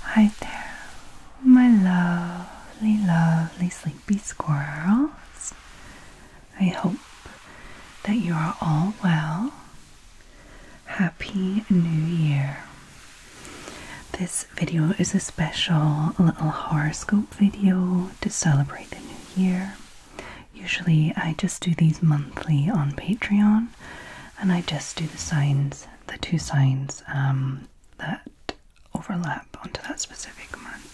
Hi there, my lovely, lovely sleepy squirrels. I hope that you are all well. Happy New Year. This video is a special little horoscope video to celebrate the new year. Usually, I just do these monthly on Patreon and I just do the signs the two signs um, that overlap onto that specific month.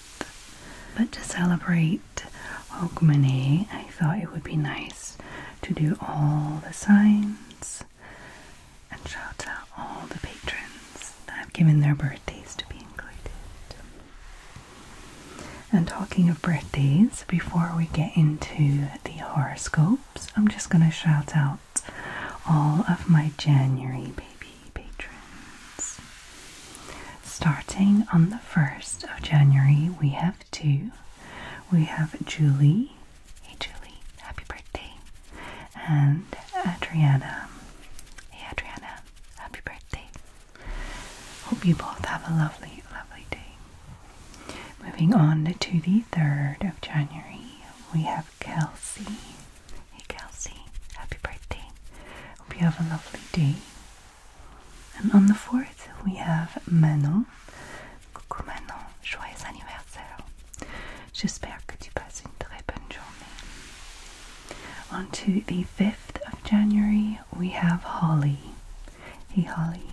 But to celebrate Hogmanay, I thought it would be nice to do all the signs and shout out all the patrons that have given their birthdays to be included. And talking of birthdays, before we get into the horoscopes, I'm just going to shout out all of my January baby patrons. Starting on the 1st of January, we have two. We have Julie. Hey Julie, happy birthday. And Adriana. Hey Adriana, happy birthday. Hope you both have a lovely, lovely day. Moving on to the 3rd of January, we have Kelsey. Hey Kelsey, happy birthday. Hope you have a lovely day. And on the 4th, we have Manon. Coucou Manon, joyeux anniversaire. J'espère que tu passes une très bonne journée. On to the 5th of January, we have Holly. Hey Holly,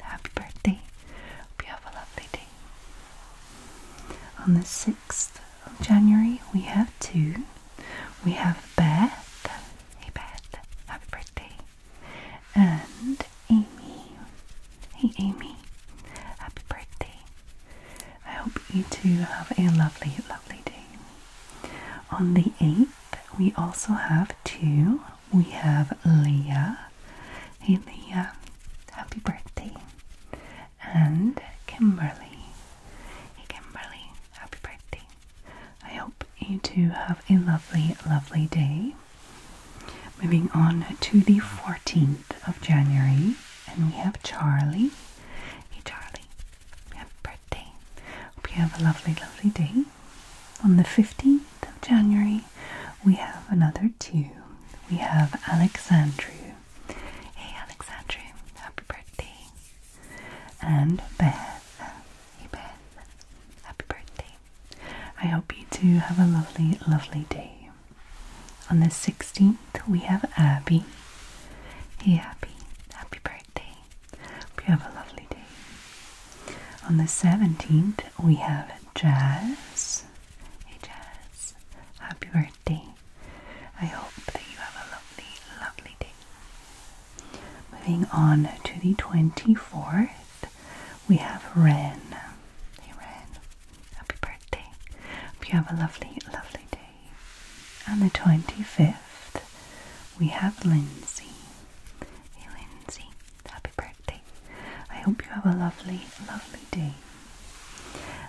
happy birthday. Hope you have a lovely day. On the 6th of January, we have two. We have Beth, hey Beth, happy birthday, and Amy, hey Amy, happy birthday. I hope you two have a lovely, lovely day. On the 8th, we also have two. We have Leah, Hey Leah, uh, happy birthday. And Kimberly. Hey Kimberly, happy birthday. I hope you two have a lovely, lovely day. Moving on to the 14th of January, and we have Charlie. Hey Charlie, happy birthday. Hope you have a lovely, lovely day. On the 15th, of January, we have another two. We have Alexandru. Hey Alexandru, happy birthday. And Beth. Hey Beth, happy birthday. I hope you two have a lovely, lovely day. On the 16th, we have Abby. Hey Abby, happy birthday. Hope you have a lovely day. On the 17th, we have Jazz. Hey Jazz, happy birthday. I hope that you have a lovely, lovely day. Moving on to the 24th, we have Ren. Hey Ren, happy birthday. Hope you have a lovely, lovely day. On the 25th, we have Lindsay. Hey Lindsay, happy happy birthday. I hope you have a lovely, lovely day.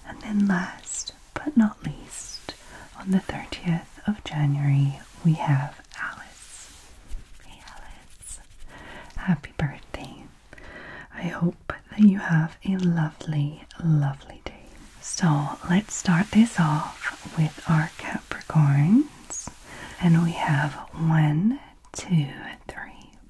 And then, last but not least, on the 30th of January, we have Alice. Alice. Happy birthday. I hope that you have a lovely, lovely day. So, let's start this off with our Capricorns. And we have one, two, three,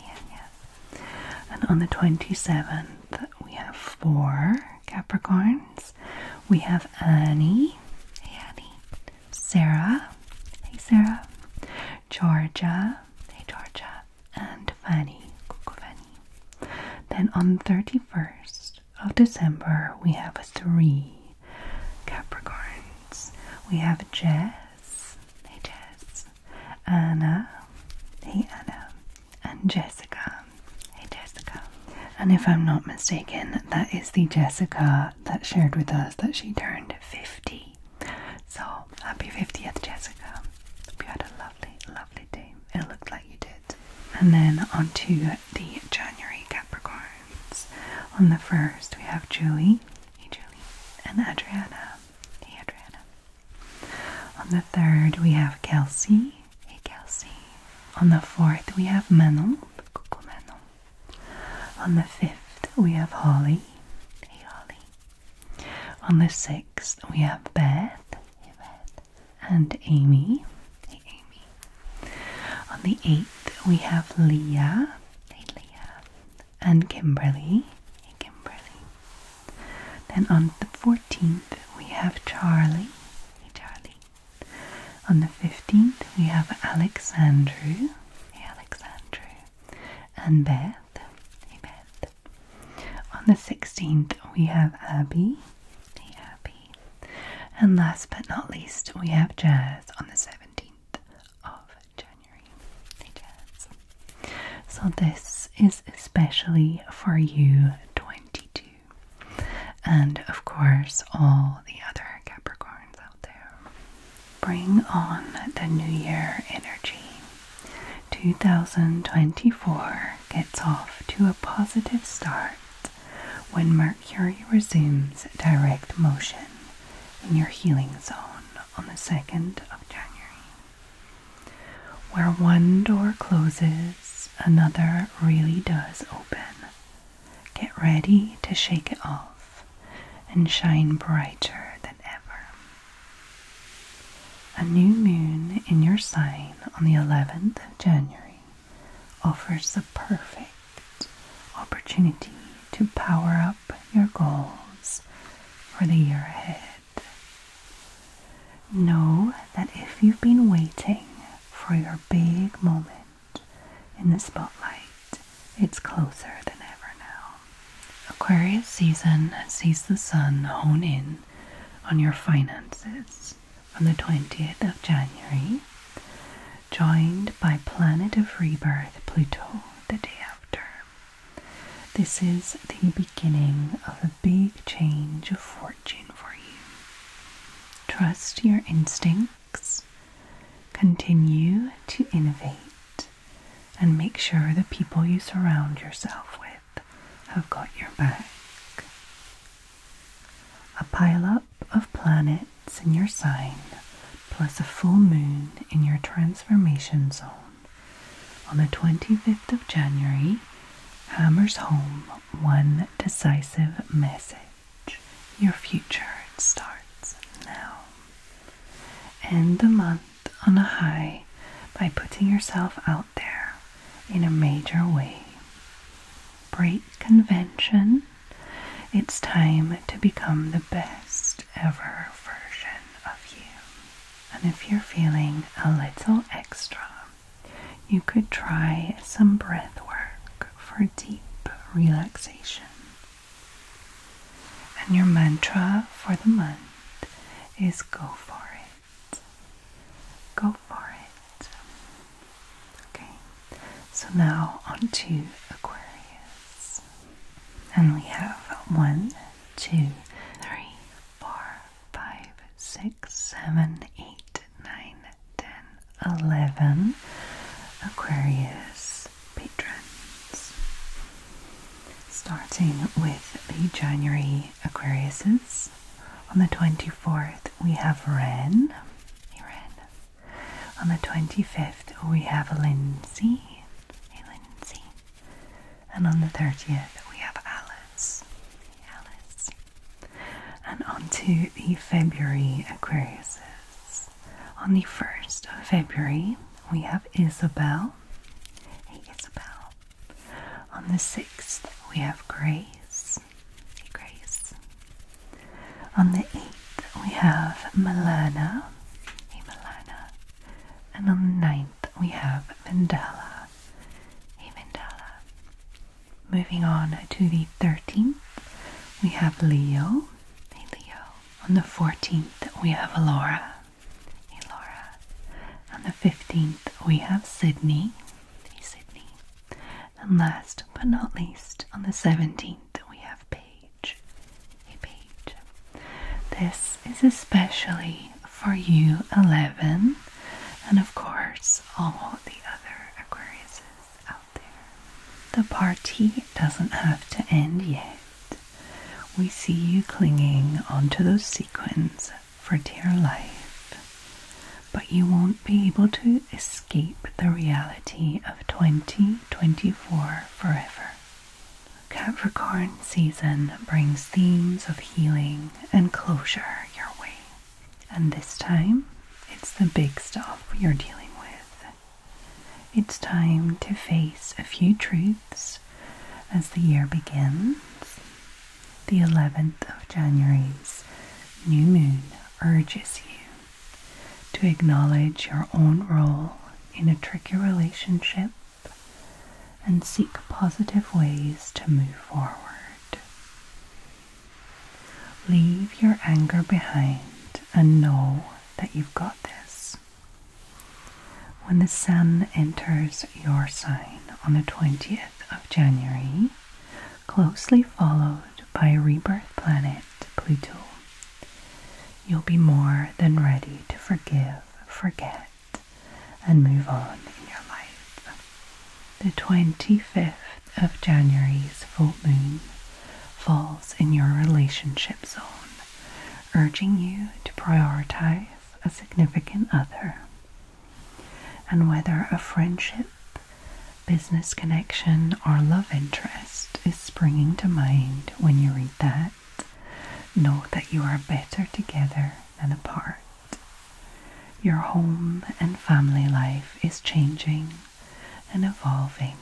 Yeah, yeah. And on the 27th, we have four Capricorns. We have Annie, hey Annie, Sarah, hey Sarah, Georgia, hey Georgia, and Fanny, Cuckoo Fanny. Then on the 31st of December, we have three Capricorns. We have Jess, hey Jess, Anna, hey Anna, and Jessica. Hey, Jessica. And if I'm not mistaken, that is the Jessica that shared with us that she turned 50. So happy 50th, Jessica. Hope you had a lovely, lovely day. It looked like you did. And then on to the January Capricorns. On the first, we have Julie. Hey, Julie. And Adriana. Hey, Adriana. On the third, we have Kelsey. Hey, Kelsey. On the fourth, we have Manon. On the fifth, we have Holly. Hey, Holly. On the sixth, we have Beth. Hey, Beth. And Amy. Hey, Amy. On the eighth, we have Leah. Hey, Leah. And Kimberly. Hey, Kimberly. Then on the 14th, we have Charlie. Hey, Charlie. On the 15th, we have Alexandru. Hey, Alexandru. And Beth. Hey, Beth. On the 16th, we have Abby. Hey, Abby. And last but not least, we have Jazz on the 17th of January. Hey, Jazz. So this is especially for you 22 and of course all the other Capricorns out there. Bring on the new year energy. 2024 gets off to a positive start when Mercury resumes direct motion in your healing zone on the 2nd of January. Where one door closes, another really does open. Get ready to shake it off and shine brighter than ever. A new moon in your sign on the 11th of January offers the perfect opportunity to power up your goals for the year ahead. Know that if you've been waiting for your big moment in the spotlight, it's closer than ever now. Aquarius season sees the sun hone in on your finances on the 20th of January, joined by planet of rebirth Pluto the day after. This is the beginning of a big change of fortune for you. Trust your instincts, continue to innovate, and make sure the people you surround yourself with have got your back. A pileup of planets in your sign, plus a full moon in your transformation zone on the 25th of January, hammers home one decisive message. Your future starts now. End the month on a high by putting yourself out there in a major way. Break convention. It's time to become the best ever version of you. And if you're feeling a little extra, you could try some breath work for deep relaxation. And your mantra for the month is go for it. Go for it. Okay, so now on to Aquarius. And we have one, two, three, four, 5, 6, 7, 8, 9, 10, 11 Aquarius patrons. Starting with the January Aquariuses. On the 24th, we have Ren. Hey, Ren. On the 25th, we have Lindsay. Hey, Lindsay. And on the 30th, we have Alice. Alice. And on to the February Aquariuses. On the 1st of February, we have Isabel. Isabel. On the 6th, we have Grace. Grace. On the 8th, we have Malena. Malena. And on the 9th, we have Vendela a mandala. Uh, moving on to the 13th, we have Leo. Hey Leo. On the 14th, we have Laura. Hey Laura. On the 15th, we have Sydney. Hey Sydney. And last but not least, on the 17th, we have Page. Hey Paige. This is especially for you 11 and of course all the other Aquariuses out there. The party doesn't have to end yet. We see you clinging onto those sequins for dear life, but you won't be able to escape the reality of 2024 forever. Capricorn season brings themes of healing and closure your way. And this time, it's the big stuff you're dealing with. It's time to face a few truths as the year begins. The 11th of January's new moon urges you to acknowledge your own role in a tricky relationship and seek positive ways to move forward. Leave your anger behind and know that you've got this. When the sun enters your sign on the 20th of January, closely followed by rebirth planet Pluto, you'll be more than ready to forgive, forget, and move on in your life. The 25th of January's full moon falls in your relationship zone, urging you to prioritize a significant other. And whether a friendship, business connection, or love interest is springing to mind when you read that, know that you are better together than apart. Your home and family life is changing and evolving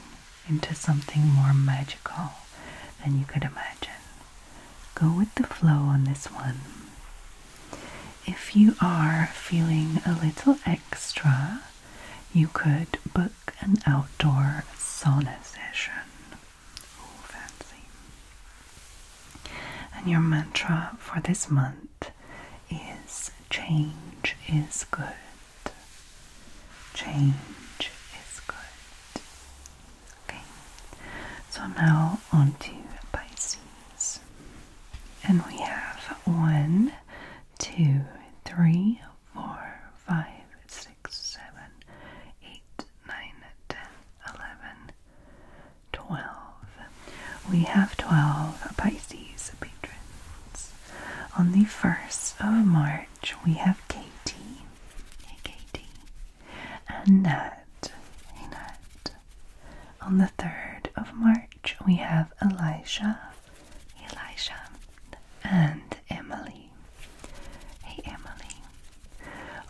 into something more magical than you could imagine. Go with the flow on this one. If you are feeling a little extra, you could book an outdoor sauna session. Oh, fancy. And your mantra for this month is change is good. Change is good. Okay, so now onto Pisces. And we have one, two, three, four, five, six, seven, eight, nine, ten, eleven. 12. We have 12 Pisces patrons. On the 1st of March, we have Katie. Hey, Katie. Annette. Hey, Nat. On the 3rd of March, we have Elisha. Hey, And Emily. Hey, Emily.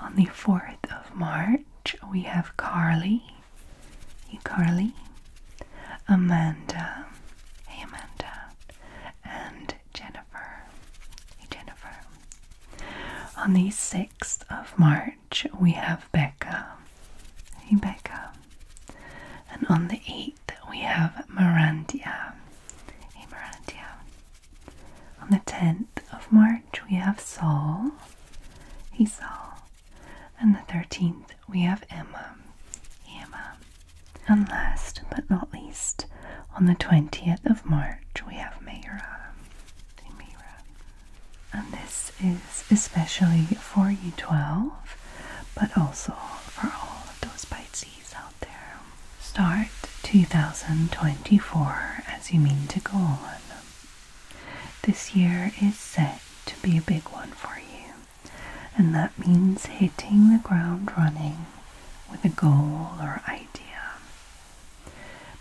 On the 4th of March, we have Carly. Hey, Carly. Amanda. Hey, Amanda. And Jennifer. Hey, Jennifer. On the 6th of March, we have Becca. Hey, Becca. And on the 8th, we have Mirandia. Hey, Mirandia. On the 10th of March, we have Saul. He saw. And the 13th, we have Emma. Emma. And last but not least, on the 20th of March, we have Mayra. Mayra. And this is especially for you 12, but also for all of those Pisces out there. Start 2024 as you mean to go on. This year is set to be a big one for you, and that means hitting the ground running with a goal or idea.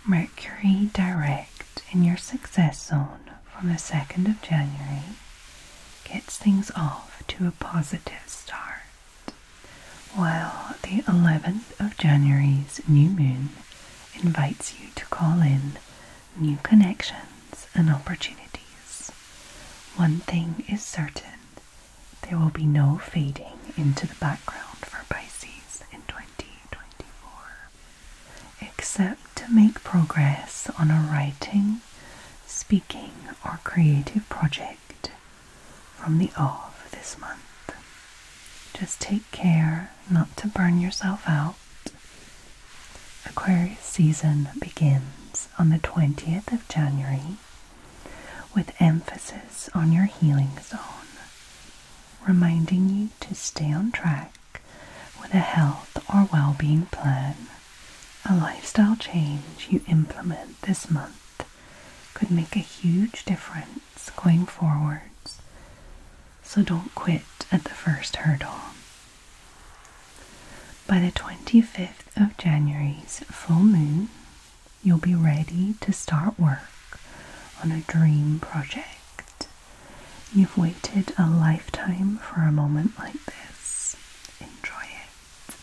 Mercury direct in your success zone from the 2nd of January gets things off to a positive start, while the 11th of January's new moon invites you to call in new connections and opportunities. One thing is certain there will be no fading into the background for Pisces in 2024, except to make progress on a writing, speaking, or creative project from the off this month. Just take care not to burn yourself out. Aquarius season begins on the 20th of January with emphasis on your healing zone, reminding you to stay on track with a health or well being plan. A lifestyle change you implement this month could make a huge difference going forwards so don't quit at the first hurdle. By the 25th of January's full moon, you'll be ready to start work on a dream project. You've waited a lifetime for a moment like this. Enjoy it.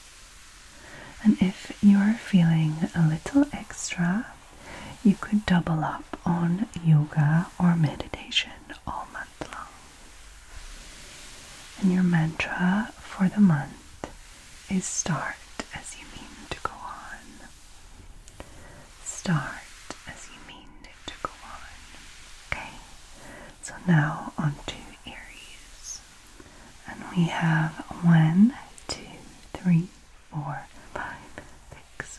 And if you are feeling a little extra you could double up on yoga or meditation all month long. And your mantra for the month is start as you mean to go on. Start as you mean to go on. Okay, so now on to Aries. And we have one, two, three, four, five, six,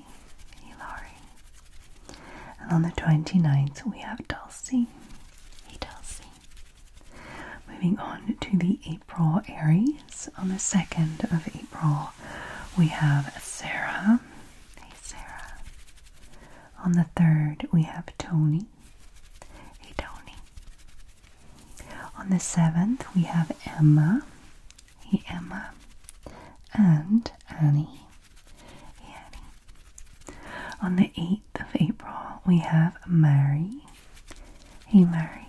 Hillary, Hillary. And on the 29th, we have Dulcie, hey Dulcie. Moving on to the April Aries, on the 2nd of April, we have Sarah, hey Sarah. On the 3rd, we have Tony, hey Tony. On the 7th, we have Emma, hey Emma. And Annie. Annie. On the 8th of April, we have Mary. Hey, Mary.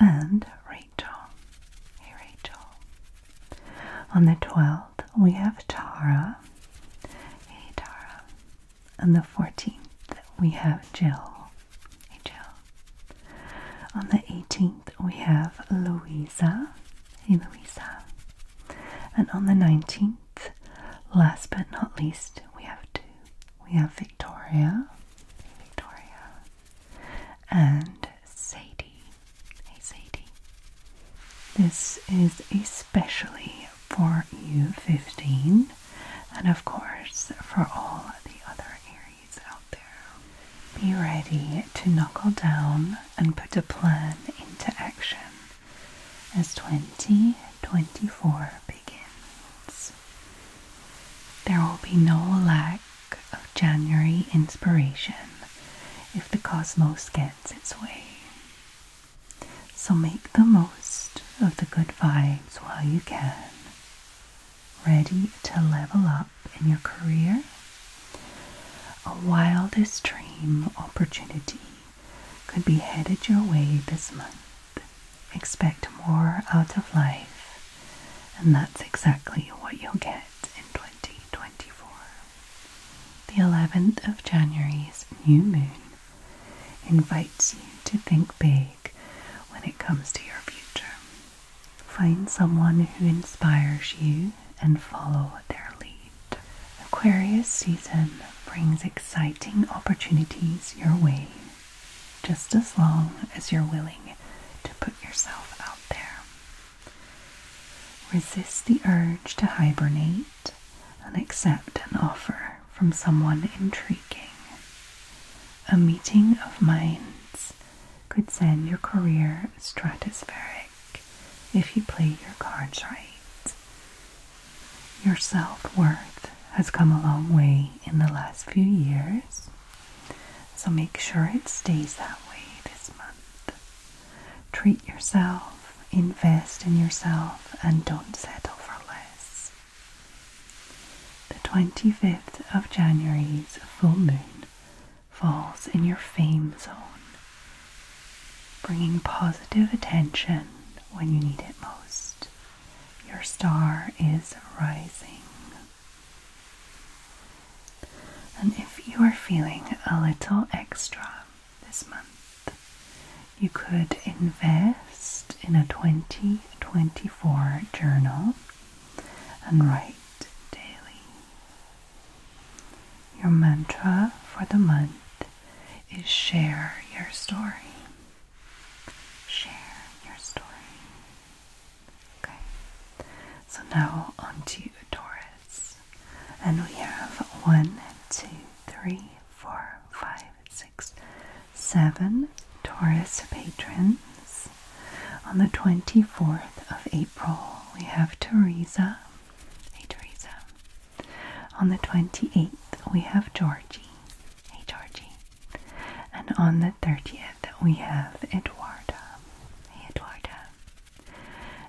And Rachel. Hey, Rachel. On the 12th, we have Tara. Hey, Tara. On the 14th, we have Jill. Hey, Jill. On the 18th, we have Louisa. Hey Louisa. And on the 19th, last but not least, we have two. We have Victoria. Hey Victoria. And Sadie. Hey Sadie. This is especially for you 15 and of course for all the other Aries out there be ready to knuckle down and put a plan into action as 2024 begins. There will be no lack of January inspiration if the cosmos gets its way. So make the most of the good vibes while you can, ready to level up in your career, a wildest dream opportunity could be headed your way this month. Expect more out of life, and that's exactly what you'll get in 2024. The 11th of January's new moon invites you to think big when it comes to your future. Find someone who inspires you and follow their lead. Aquarius season brings exciting opportunities your way, just as long as you're willing to put yourself out there. Resist the urge to hibernate and accept an offer from someone intriguing. A meeting of minds could send your career stratospheric if you play your cards right. Your self worth has come a long way in the last few years, so make sure it stays that way this month. Treat yourself, invest in yourself, and don't settle for less. The 25th of January's full moon falls in your fame zone, bringing positive attention when you need it most. Your star is rising. And if you are feeling a little extra this month, you could invest in a 2024 journal and write daily. Your mantra for the month is share your story. Share your story. Okay. So now onto to Taurus. And we have one, two, three, four, five, six, seven Taurus patrons. On the 24th of April, we have Teresa Hey Teresa. On the 28th, we have Georgie. Hey Georgie. And on the 30th, we have Eduarda. Hey Eduarda.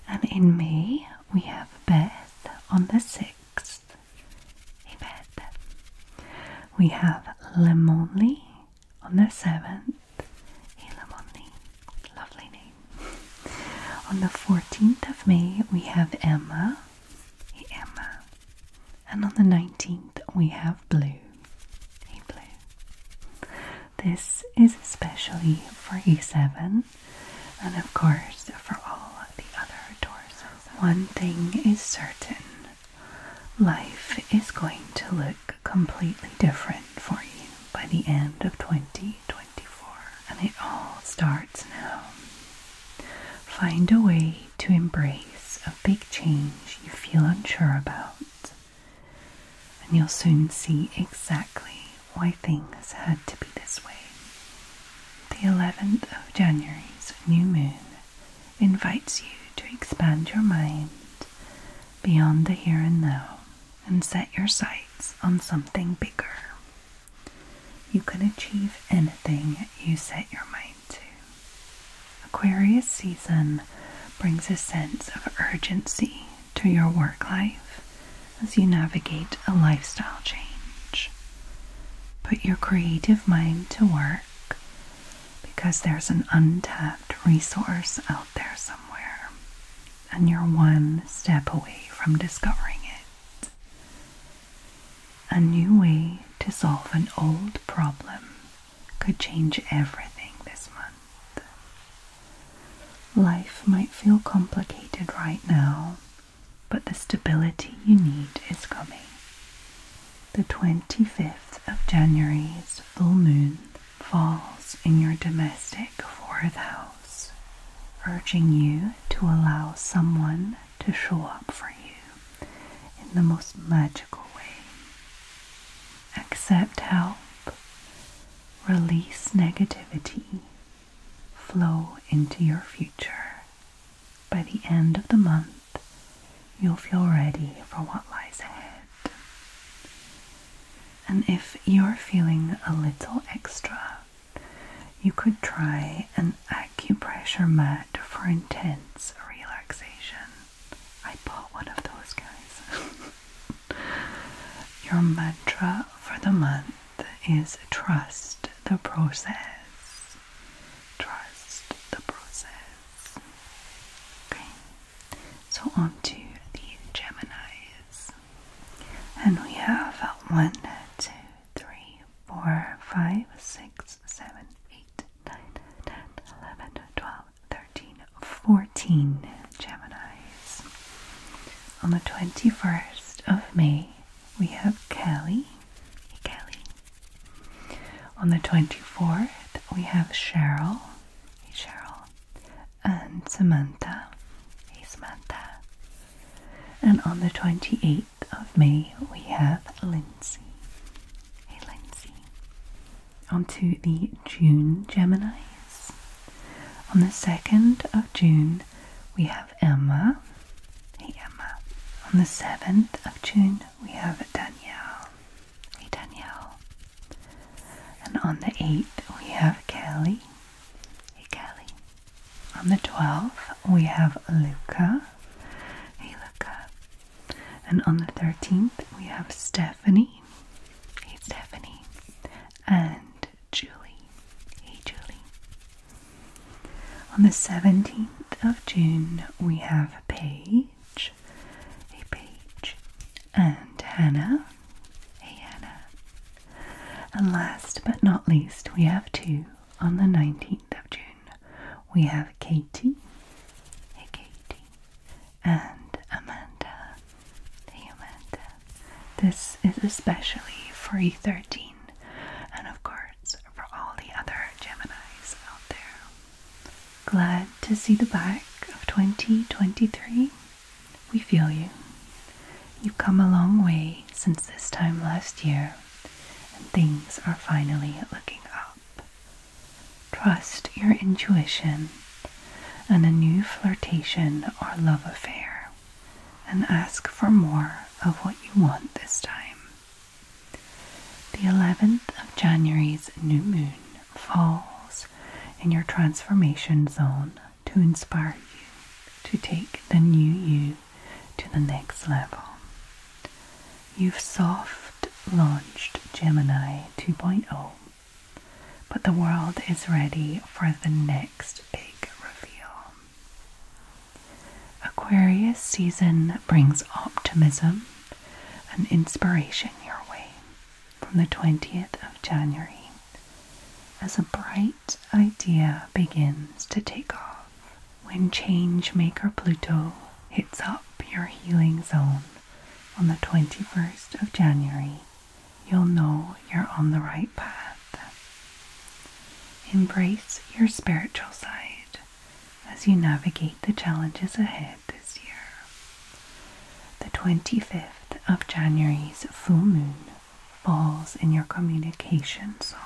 And in May, we have Beth on the 6th. Hey Beth. We have Lemonly on the 7th. Elamonni. Lovely name. On the 14th of May, we have Emma. Emma. And on the 19th, we have Blue. Blue. This is especially for E7 and, of course, for all the other torsos. One thing is certain life is going to look completely different for you by the end of 2020 and it all starts now. Find a way to embrace a big change you feel unsure about, and you'll soon see exactly why things had to be this way. The 11th of January's new moon invites you to expand your mind beyond the here and now and set your sights on something bigger. You can achieve anything you set your mind to. Aquarius season brings a sense of urgency to your work life as you navigate a lifestyle change. Put your creative mind to work because there's an untapped resource out there somewhere and you're one step away from discovering it. A new way to solve an old problem could change everything this month. Life might feel complicated right now, but the stability you need is coming. The 25th of January's full moon falls in your domestic fourth house, urging you to allow someone to show up for you in the most magical way. Accept help, release negativity, flow into your future. By the end of the month, you'll feel ready for what lies ahead. And if you're feeling a little extra, you could try an acupressure mat for intense relaxation. I bought one of those guys. Your mantra for the month is trust the process. Trust the process. Okay, so on to the Geminis. And we have one, two, three, four, five, six, seven, eight, nine, ten, eleven, twelve, thirteen, fourteen Geminis. On the twenty-first of May, we have Kelly. Hey, Kelly. On the twenty-fourth, we have Cheryl. Hey, Cheryl and Samantha. Hey Samantha. And on the 28th of May, we have Lindsay. Hey Lindsay. On to the June Geminis. On the 2nd of June, we have Emma. Hey Emma. On the 7th of June, we have Danielle. Hey Danielle. And on the 8th, we have Kelly. Hey Kelly. On the 12th, we have Luca. Hey Luca. And on the 13th, we have Stephanie. Hey Stephanie. And Julie. Hey Julie. On the 17th of June, we have Paige. Hey Paige. And Hannah. Hey Anna. And last but not least, we have two on the 19th of June. We have Katie. Hey Katie. And Amanda. Hey Amanda. This is especially for E13 and of course for all the other Geminis out there. Glad to see the back of 2023 we feel you. You've come a long way since this time last year, and things are finally looking up. Trust your intuition and a new flirtation or love affair, and ask for more of what you want this time. The 11th of January's new moon falls in your transformation zone to inspire you to take the new you to the next level. You've soft launched Gemini 2.0, but the world is ready for the next big reveal. Aquarius season brings optimism and inspiration your way from the 20th of January as a bright that idea begins to take off when change maker Pluto hits up your healing zone on the 21st of January. You'll know you're on the right path. Embrace your spiritual side as you navigate the challenges ahead this year. The 25th of January's full moon falls in your communication zone.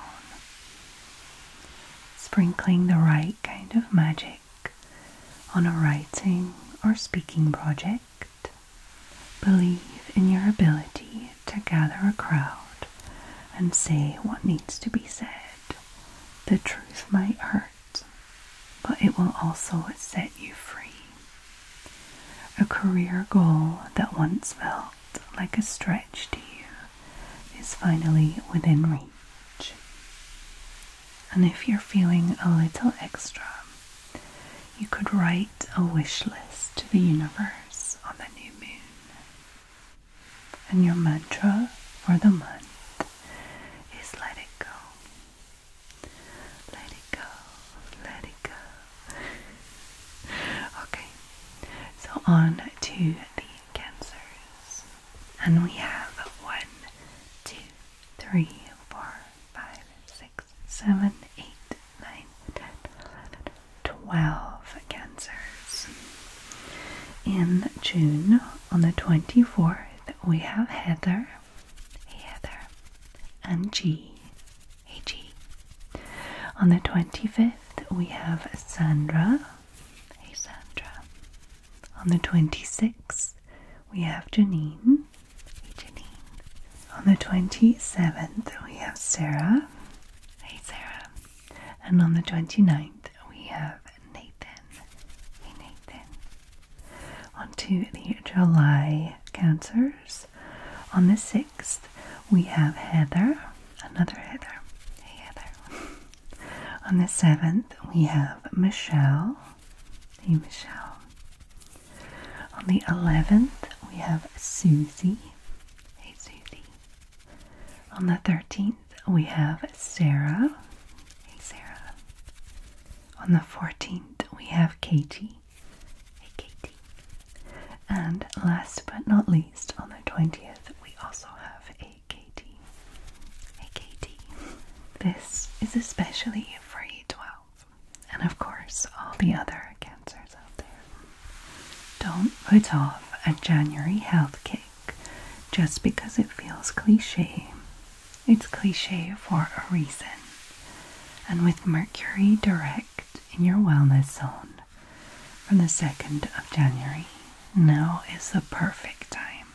Sprinkling the right kind of magic on a writing or speaking project. Believe in your ability to gather a crowd and say what needs to be said. The truth might hurt, but it will also set you free. A career goal that once felt like a stretch to you is finally within reach. And if you're feeling a little extra, you could write a wish list to the universe on the new moon. And your mantra for the month is let it go. Let it go, let it go. okay, so on to the cancers. And we have one, two, three, four, five, six, seven, eight, nine, ten, eleven, twelve cancers. In June, on the 24th, we have Heather, Heather, and G, AG. On the 25th, we have Sandra. Hey, Sandra. On the 26th, we have Janine. Hey, Janine. On the 27th, we have Sarah. Hey, Sarah. And on the 29th, we have Nathan. Hey, Nathan. On to the July cancers. On the 6th, we have Heather, another Heather. Hey, Heather. On the 7th, we have Michelle. Hey, Michelle. On the 11th, we have Susie. Hey, Susie. On the 13th, we have Sarah. Hey, Sarah. On the 14th, we have Katie. Hey And last but not least, on the 20th, we also have a Katie. This is especially for a 12 And of course, all the other cancers out there. Don't put off a January health kick just because it feels cliche. It's cliche for a reason. And with Mercury direct in your wellness zone from the 2nd of January. Now is the perfect time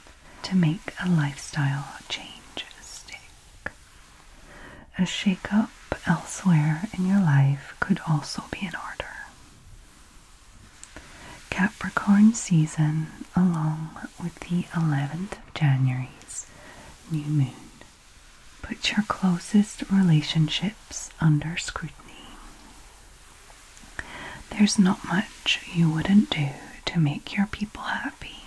to make a lifestyle change stick. A shake up elsewhere in your life could also be in order. Capricorn season, along with the 11th of January's new moon, Put your closest relationships under scrutiny. There's not much you wouldn't do to make your people happy,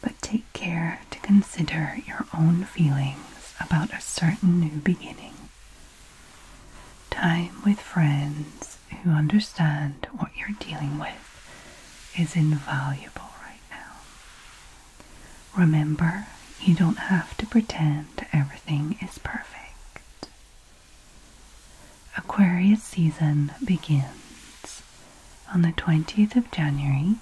but take care to consider your own feelings about a certain new beginning. Time with friends who understand what you're dealing with is invaluable right now. Remember, you don't have to pretend everything is perfect. Aquarius season begins on the 20th of January,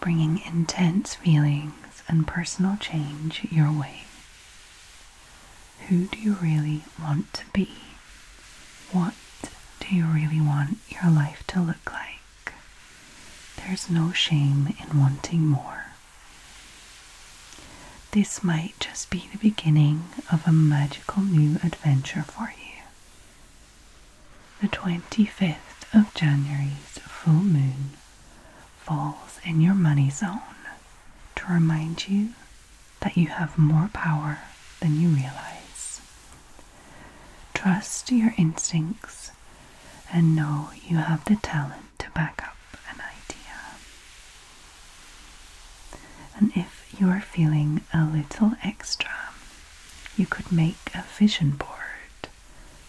bringing intense feelings and personal change your way. Who do you really want to be? What do you really want your life to look like? There's no shame in wanting more. This might just be the beginning of a magical new adventure for you. The 25th of January's full moon falls in your money zone to remind you that you have more power than you realize. Trust your instincts and know you have the talent to back up an idea. And if you are feeling a little extra, you could make a vision board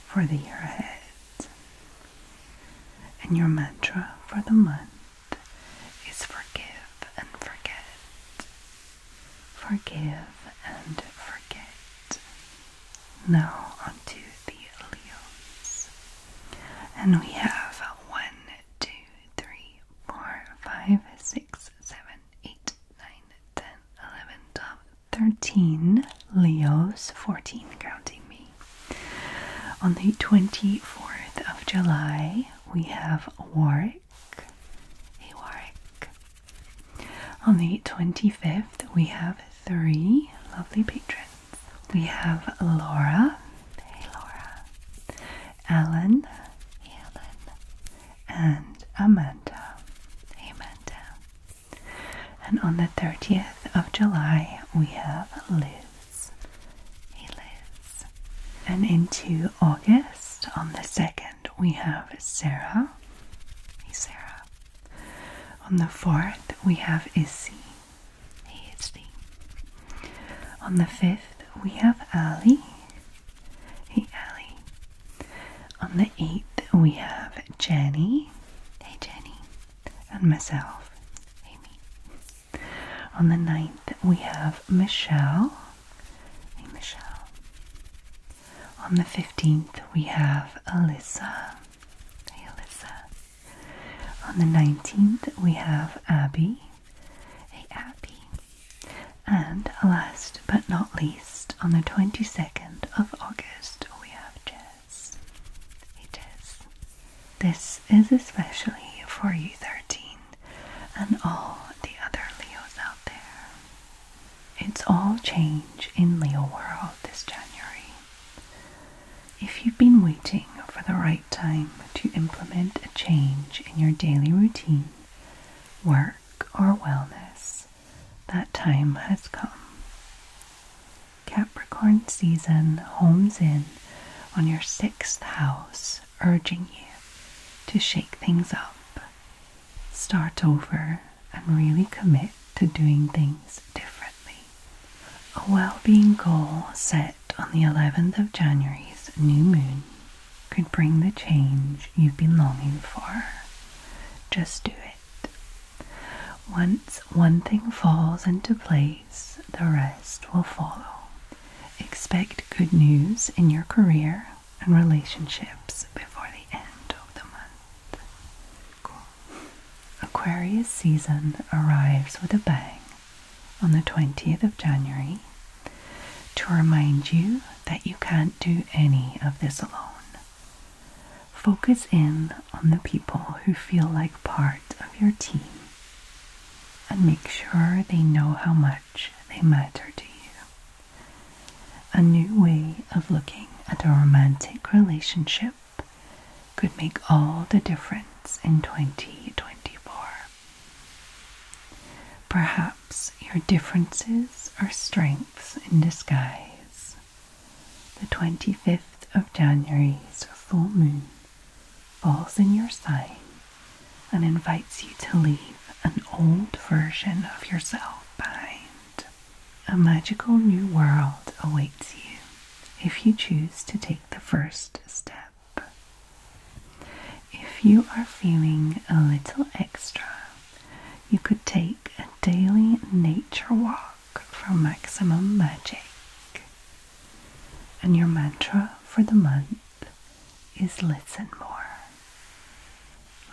for the year ahead. And your mantra for the month is forgive and forget forgive and forget. Now onto the Leos. And we have 1, 2, 3, 4, 5, 6, 7, 8, 9, 10, 11, 12, 13 Leos, 14 counting me. On the 24th of July, we have Warwick, a Warwick, on the 25th, we have three lovely patrons. We have Laura, hey Laura, Ellen, Ellen, and Amanda, Amanda. And on the 30th of July, we have Liz, hey Liz. And into August, on the 2nd, and we have Sarah. Hey, Sarah. On the fourth, we have Issy. Hey, Issy. On the fifth, we have Ali. Hey, Allie. On the eighth, we have Jenny. Hey, Jenny. And myself. Hey, me. On the ninth, we have Michelle. Hey, Michelle. On the 15th, we have Alyssa. Hey, Alyssa. On the 19th, we have Abby. Hey, Abby. And last but not least, on the 22nd of August, we have Jess. Hey, Jess. This is especially for you, 13, and all the other Leos out there. It's all change in Leo World this January. If you've been waiting for the right time to implement a change in your daily routine, work, or wellness, that time has come. Capricorn season homes in on your sixth house, urging you to shake things up start over and really commit to doing things differently. A well being goal set on the 11th of January's new moon could bring the change you've been longing for. Just do it. Once one thing falls into place, the rest will follow. Expect good news in your career and relationships before the end of the month. Aquarius season arrives with a bang on the 20th of January to remind you that you can't do any of this alone. Focus in on the people who feel like part of your team and make sure they know how much they matter to you. A new way of looking at a romantic relationship could make all the difference in 2024. Perhaps your differences are strengths in disguise. The 25th of January's full moon falls in your sign and invites you to leave an old version of yourself behind. A magical new world awaits you if you choose to take the first step. If you are feeling a little extra, you could take a daily nature walk for maximum magic. And your mantra for the month is listen more.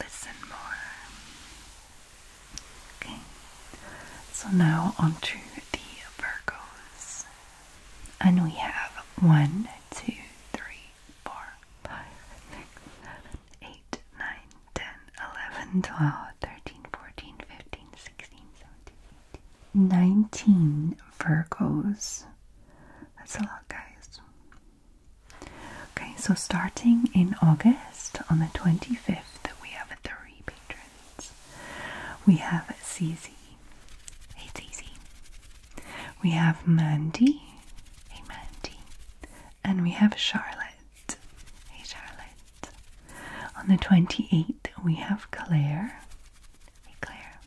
Listen more. Okay, so now on to the Virgos. And we have one, two, three, four, five, six, seven, eight, nine, ten, eleven, twelve, thirteen, fourteen, fifteen, sixteen, seventeen, eighteen, nineteen Virgos. That's a lot, guys. Okay, so starting in August on the 25th, we have three patrons. We have Cz, Hey Zizi. We have Mandy. Hey Mandy. And we have Charlotte. Hey Charlotte. On the 28th, we have Claire. Hey Claire.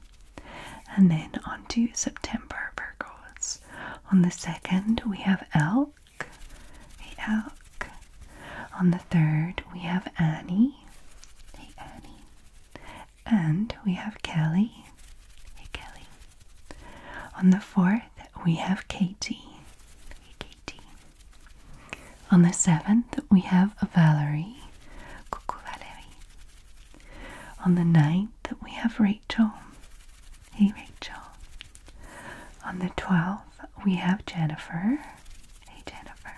And then on to September Virgos. On the 2nd, we have L. Hey, Elk. On the third, we have Annie. Hey, Annie. And we have Kelly. Hey, Kelly. On the fourth, we have Katie. Hey, Katie. On the seventh, we have Valerie. Coucou, Valerie. On the ninth, we have Rachel. Hey, Rachel. On the 12th, we have Jennifer. Hey, Jennifer.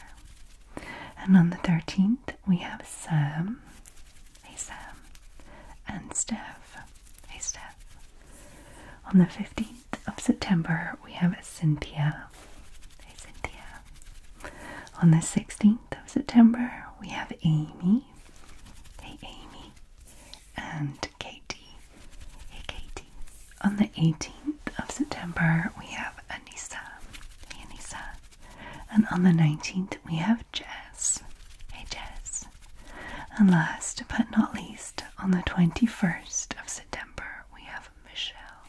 And on the 13th, we have Sam. Hey, Sam. And Steph. Hey, Steph. On the 15th of September, we have Cynthia. Hey, Cynthia. On the 16th of September, we have Amy. Hey, Amy. And and Katie. Hey Katie. On the 18th of September, we have Anissa. Hey Anissa. And on the 19th, we have Jess. Hey Jess. And last but not least, on the 21st of September, we have Michelle.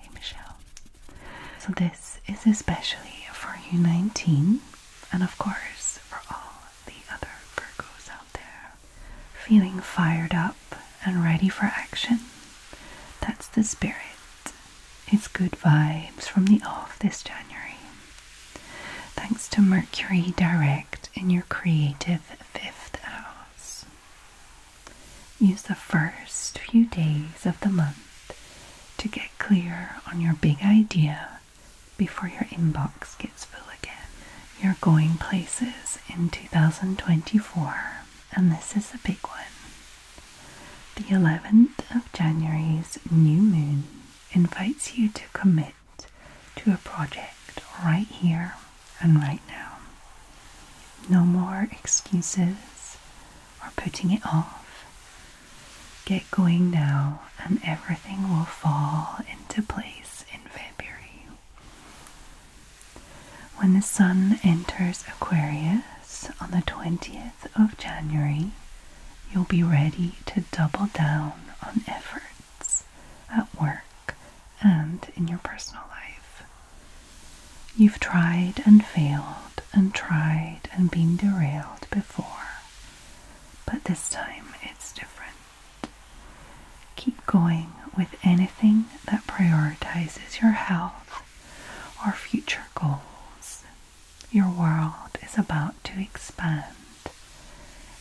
Hey Michelle. So this is especially for you 19 and of course for all the other Virgos out there feeling fired up and ready for action. That's the spirit. It's good vibes from the off this January. Thanks to Mercury direct in your creative fifth house. Use the first few days of the month to get clear on your big idea before your inbox gets full again. You're going places in 2024, and this is a big one. The 11th of January's new moon invites you to commit to a project right here and right now. No more excuses or putting it off. Get going now and everything will fall into place in February. When the Sun enters Aquarius on the 20th of January, you'll be ready to double down on efforts at work and in your personal life. You've tried and failed and tried and been derailed before, but this time it's different. Keep going with anything that prioritizes your health or future goals. Your world is about to expand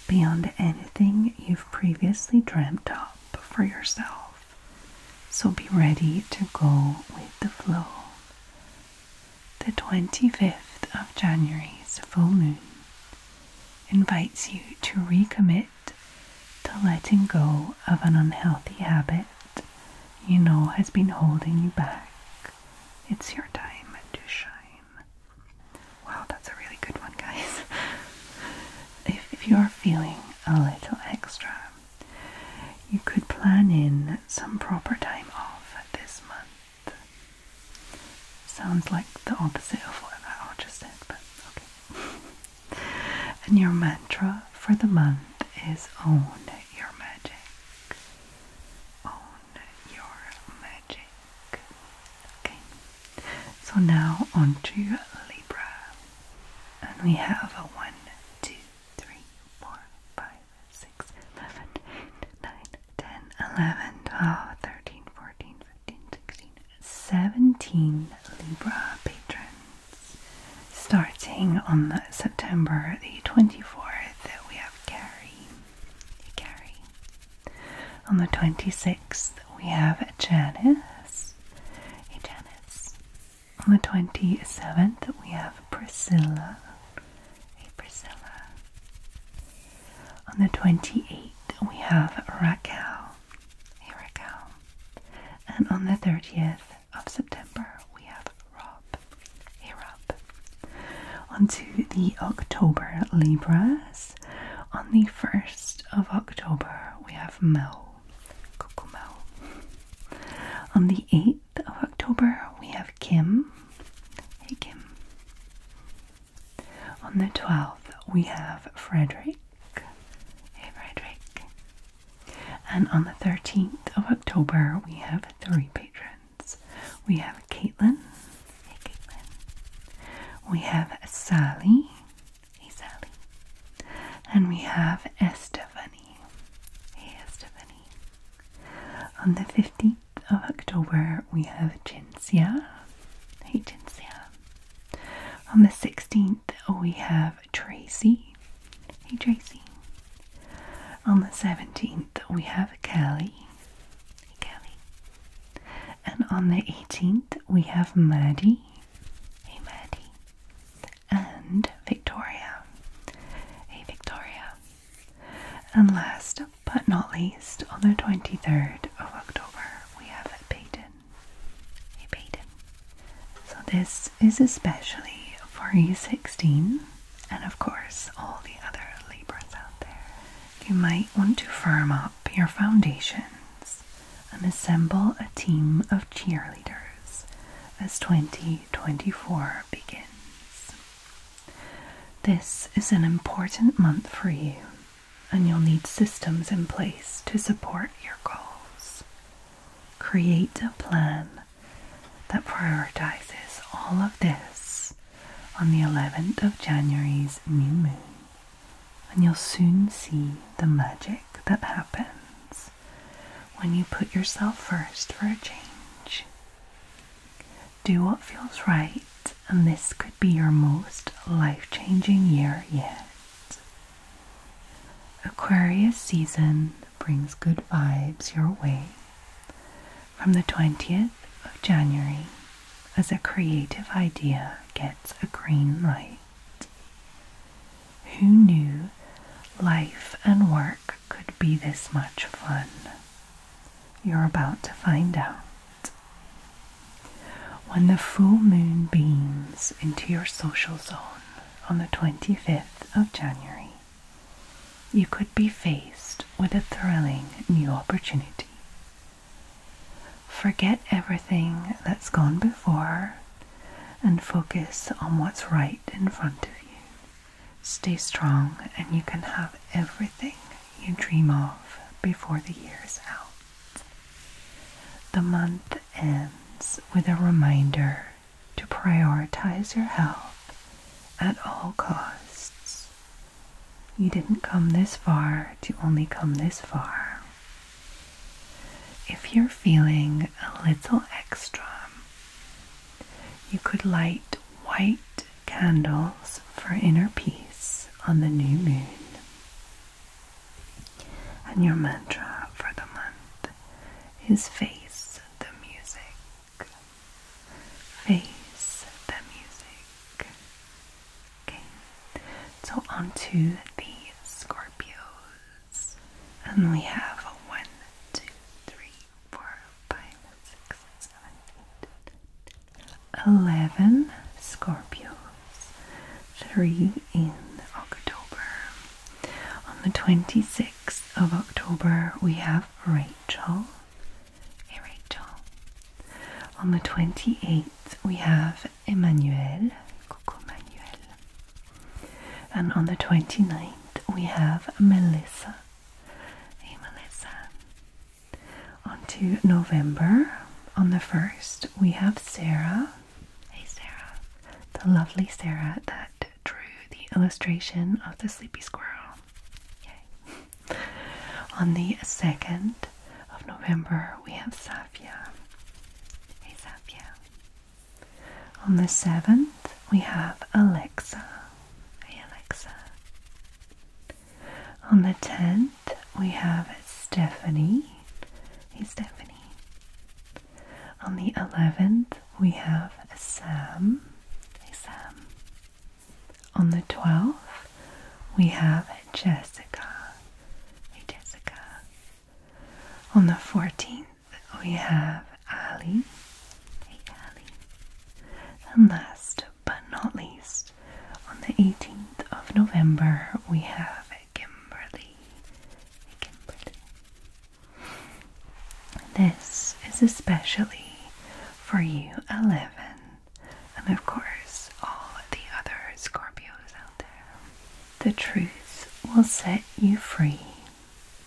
beyond anything you've previously dreamt up for yourself. So be ready to go with the flow. The 25th of January's full moon invites you to recommit to letting go of an unhealthy habit you know has been holding you back. It's your time to shine. Wow, that's a really good one, guys. if, if you're feeling a little extra, you could plan in some proper time off this month. Sounds like the opposite of what I just said, but okay. and your mantra for the month is own your magic. Own your magic. Okay. So now on to Libra. And we have a 1, 2, 3, 4, 5, 6, 7, 8, 9, 10, 11, 12, 13, 14, 17 Libra patrons. Starting on September the 24th, we have Carrie. Carrie. On the 26th, we have Janice. Janice. On the 27th, we have Priscilla. Priscilla. On the 28th, we have Raquel. Hey, Raquel. And on the 30th of September, we have Rob. Hey, Rob. On to the October Libras. On the 1st of October, we have Mel. Coco Mel. On the 8th of October, we have Kim. Hey, Kim. On the 12th, we have Frederick. Hey, Frederick. And on the 13th of October, we have three patrons. We have Caitlin. Hey, Caitlin. We have Sally. Hey, Sally. And we have Estefany. Hey, Estefany. On the 15th of October, we have Jinsia. Hey, Jinsia. On the 16th, we have Tracy. Hey, Tracy. On the 17th, we have Kelly. Hey, Kelly. And on the 18th, we have Maddie. Hey, Maddie. And Victoria. Hey, Victoria. And last but not least, on the 23rd of October, we have a Payton. A Payton. So, this is especially for E16 and, of course, all the other Libras out there. You might want to firm up your foundations and assemble a team of cheerleaders as 2024 begins. This is an important month for you and you'll need systems in place to support your goals. Create a plan that prioritizes all of this on the 11th of January's new moon, and you'll soon see the magic that happens when you put yourself first for a change. Do what feels right and this could be your most life changing year yet. Aquarius season brings good vibes your way from the 20th of January as a creative idea gets a green light. Who knew life and work could be this much fun? You're about to find out. When the full moon beams into your social zone on the 25th of January, you could be faced with a thrilling new opportunity. Forget everything that's gone before and focus on what's right in front of you. Stay strong, and you can have everything you dream of before the year is out. The month ends with a reminder to prioritize your health at all costs. You didn't come this far to only come this far. If you're feeling a little extra, you could light white candles for inner peace on the new moon. And your mantra for the month is face the music. Face the music. Okay, so on to the Scorpios. And we have a 11 Scorpios, 3 in October. On the 26th of October, we have Rachel. Hey, Rachel. On the 28th, we have Emmanuel. Coco Emmanuel. And on the 29th, we have Melissa. Hey, Melissa. On to November. On the first, we have Sarah. Hey, Sarah. The lovely Sarah that drew the illustration of the sleepy squirrel. Yay. On the second of November, we have Safia. Hey, Safia. On the seventh, we have Alexa. Hey, Alexa. On the 10th, we have Stephanie. Hey, Stephanie. On the 11th, we have Sam. Hey, Sam. On the 12th, we have Jessica. Hey, Jessica. On the 14th, we have Ali. Hey, Ali. And last but not least, on the 18th of November, we have Kimberly. This is especially for you, 11, and of course, all the other Scorpios out there. The truth will set you free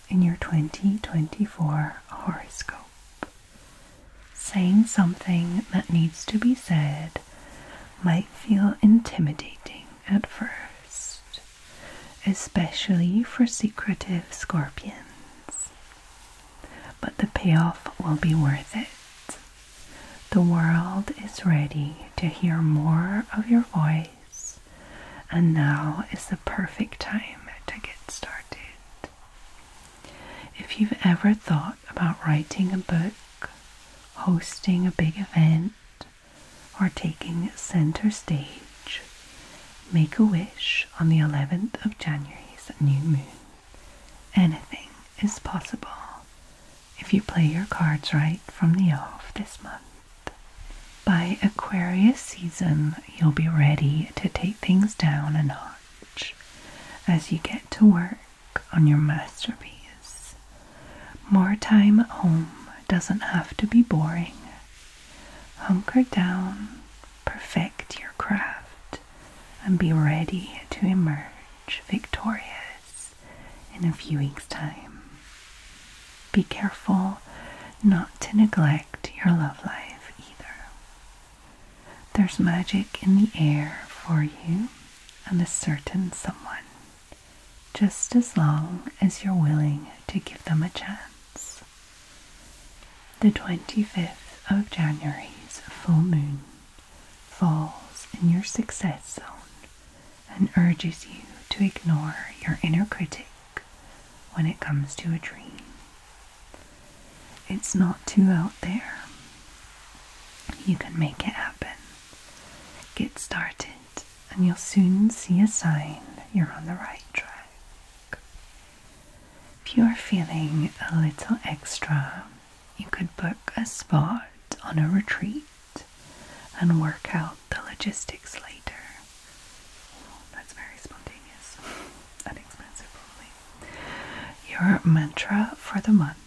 in your 2024 horoscope. Saying something that needs to be said might feel intimidating at first, especially for secretive scorpions. But the payoff will be worth it. The world is ready to hear more of your voice, and now is the perfect time to get started. If you've ever thought, about writing a book, hosting a big event, or taking center stage, make a wish on the 11th of January's new moon. Anything is possible if you play your cards right from the off this month. By Aquarius season, you'll be ready to take things down a notch as you get to work on your masterpiece. More time at home doesn't have to be boring. Hunker down, perfect your craft, and be ready to emerge victorious in a few weeks' time. Be careful not to neglect your love life either. There's magic in the air for you and a certain someone, just as long as you're willing to give them a chance. The 25th of January's full moon falls in your success zone and urges you to ignore your inner critic when it comes to a dream. It's not too out there, you can make it happen. Get started, and you'll soon see a sign you're on the right track. If you're feeling a little extra, you could book a spot on a retreat and work out the logistics later. that's very spontaneous and expensive, probably. Your mantra for the month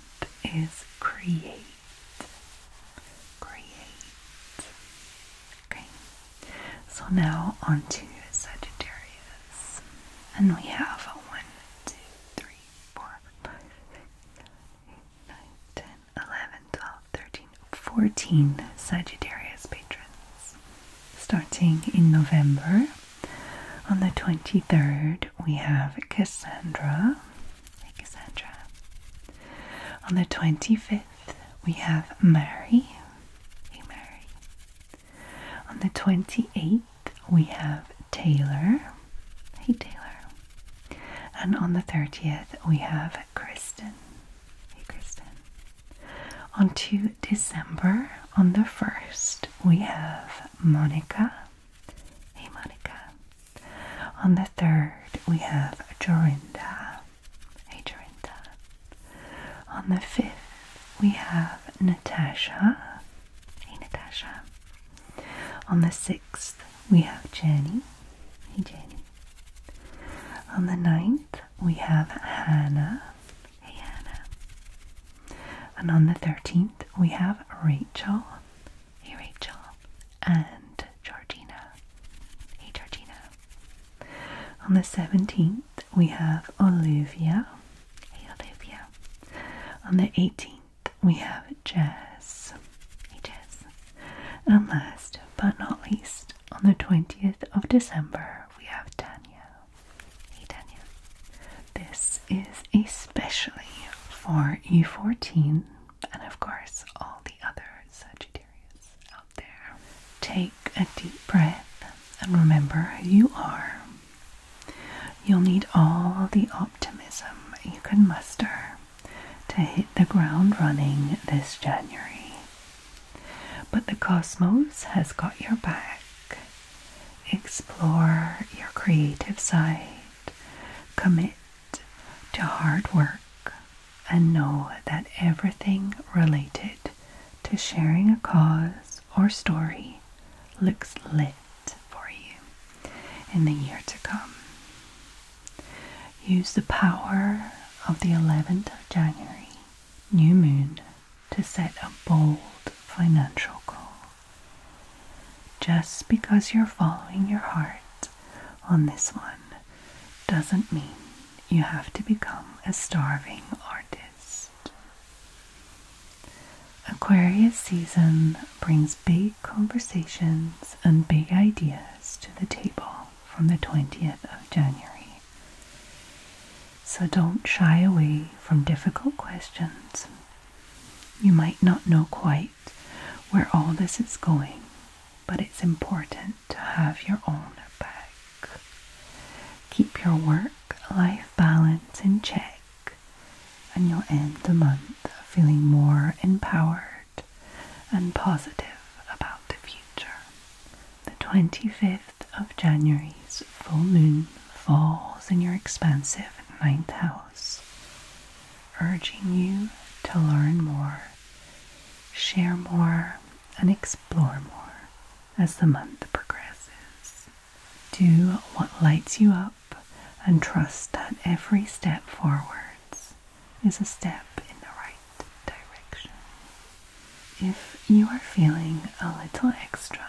is create. Create. Okay. So now onto Sagittarius. And we have a 1, 2, 3, 4, 5, 6, 7, 8, 9, 10, 11, 12, 13, 14 Sagittarius patrons. Starting in November on the 23rd, we have Cassandra. Hey, Cassandra. On the 25th, we have Mary. Hey, Mary. On the 28th, we have Taylor. Hey, Taylor. And on the 30th, we have Kristen. Hey, Kristen. On to December, on the 1st, we have Monica. Hey, Monica. On the third, we have Jorinda. Hey, Jorinda. On the fifth, we have Natasha. Hey, Natasha. On the sixth, we have Jenny. Hey, Jenny. On the ninth, we have Hannah. Hey, Hannah. And on the 13th, we have Rachel. Hey Rachel and Georgina. Hey Georgina. On the 17th, we have Olivia. Hey Olivia. On the 18th, we have Jess. Hey Jess. And last but not least, on the 20th of December, we have Daniel. Hey Tanya. This is especially for E14 and, of course, all the other Sagittarius out there. Take a deep breath and remember you are. You'll need all the optimism you can muster to hit the ground running this January. But the cosmos has got your back. Explore your creative side Commit to hard work and know that everything related to sharing a cause or story looks lit for you in the year to come. Use the power of the 11th of January, new moon, to set a bold financial goal. Just because you're following your heart on this one doesn't mean you have to become a starving artist. Aquarius season brings big conversations and big ideas to the table from the 20th of January. So don't shy away from difficult questions. You might not know quite where all this is going, but it's important to have your own back. Keep your work life balance in check, and you'll end the month feeling more empowered and positive about the future. The 25th of January's full moon falls in your expansive ninth house urging you to learn more, share more, and explore more as the month progresses. Do what lights you up and trust that every step forwards is a step in the right direction. If you are feeling a little extra,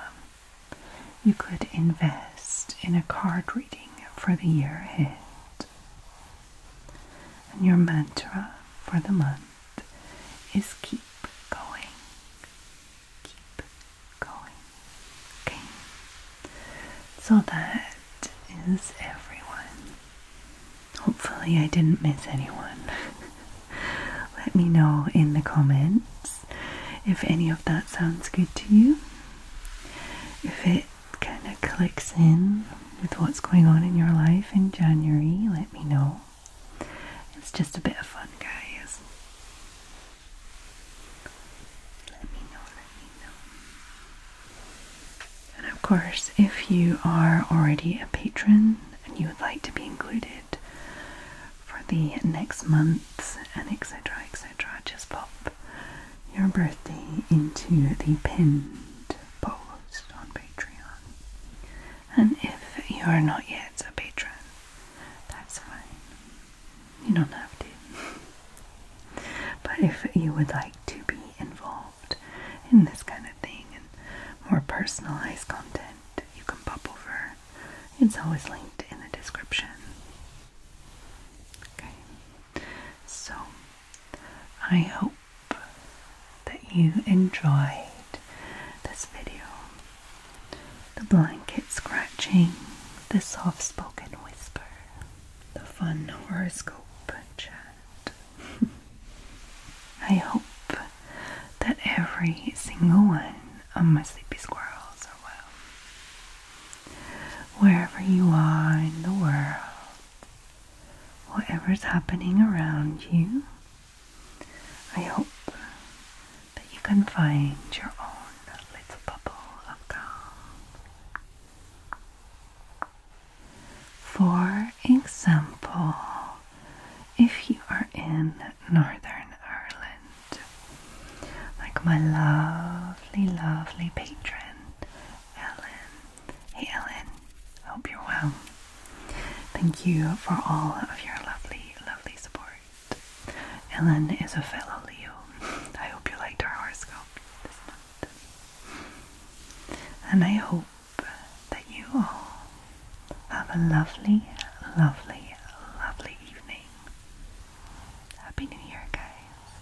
you could invest in a card reading for the year ahead. And your mantra for the month is keep going. Keep going. Okay. So that is everyone. Hopefully, I didn't miss anyone. Let me know in the comments if any of that sounds good to you if it kind of clicks in with what's going on in your life in January, let me know. It's just a bit of fun, guys. Let me know, let me know. And of course, if you are already a patron and you would like to be included for the next months and etc., etc., just pop your birthday into the pinned post on Patreon. And if you are not yet a patron, that's fine. You don't have to. but if you would like to be involved in this kind of thing and more personalized content, you can pop over. It's always linked in the description. Okay, so I hope that you enjoyed this video. The blanket scratching, the soft spoken whisper, the fun horoscope chat. I hope that every single one of my sleepy squirrels are well wherever you are in the world, whatever's happening around you, I hope that you can find your own little bubble of calm. For example, if you are in Northern Ireland, like my lovely, lovely patron, Ellen. Hey, Ellen, hope you're well. Thank you for all of your lovely, lovely support. Ellen is a fellow Leo. I hope you liked our horoscope And I hope that you all have a lovely, lovely, lovely evening. Happy New Year, guys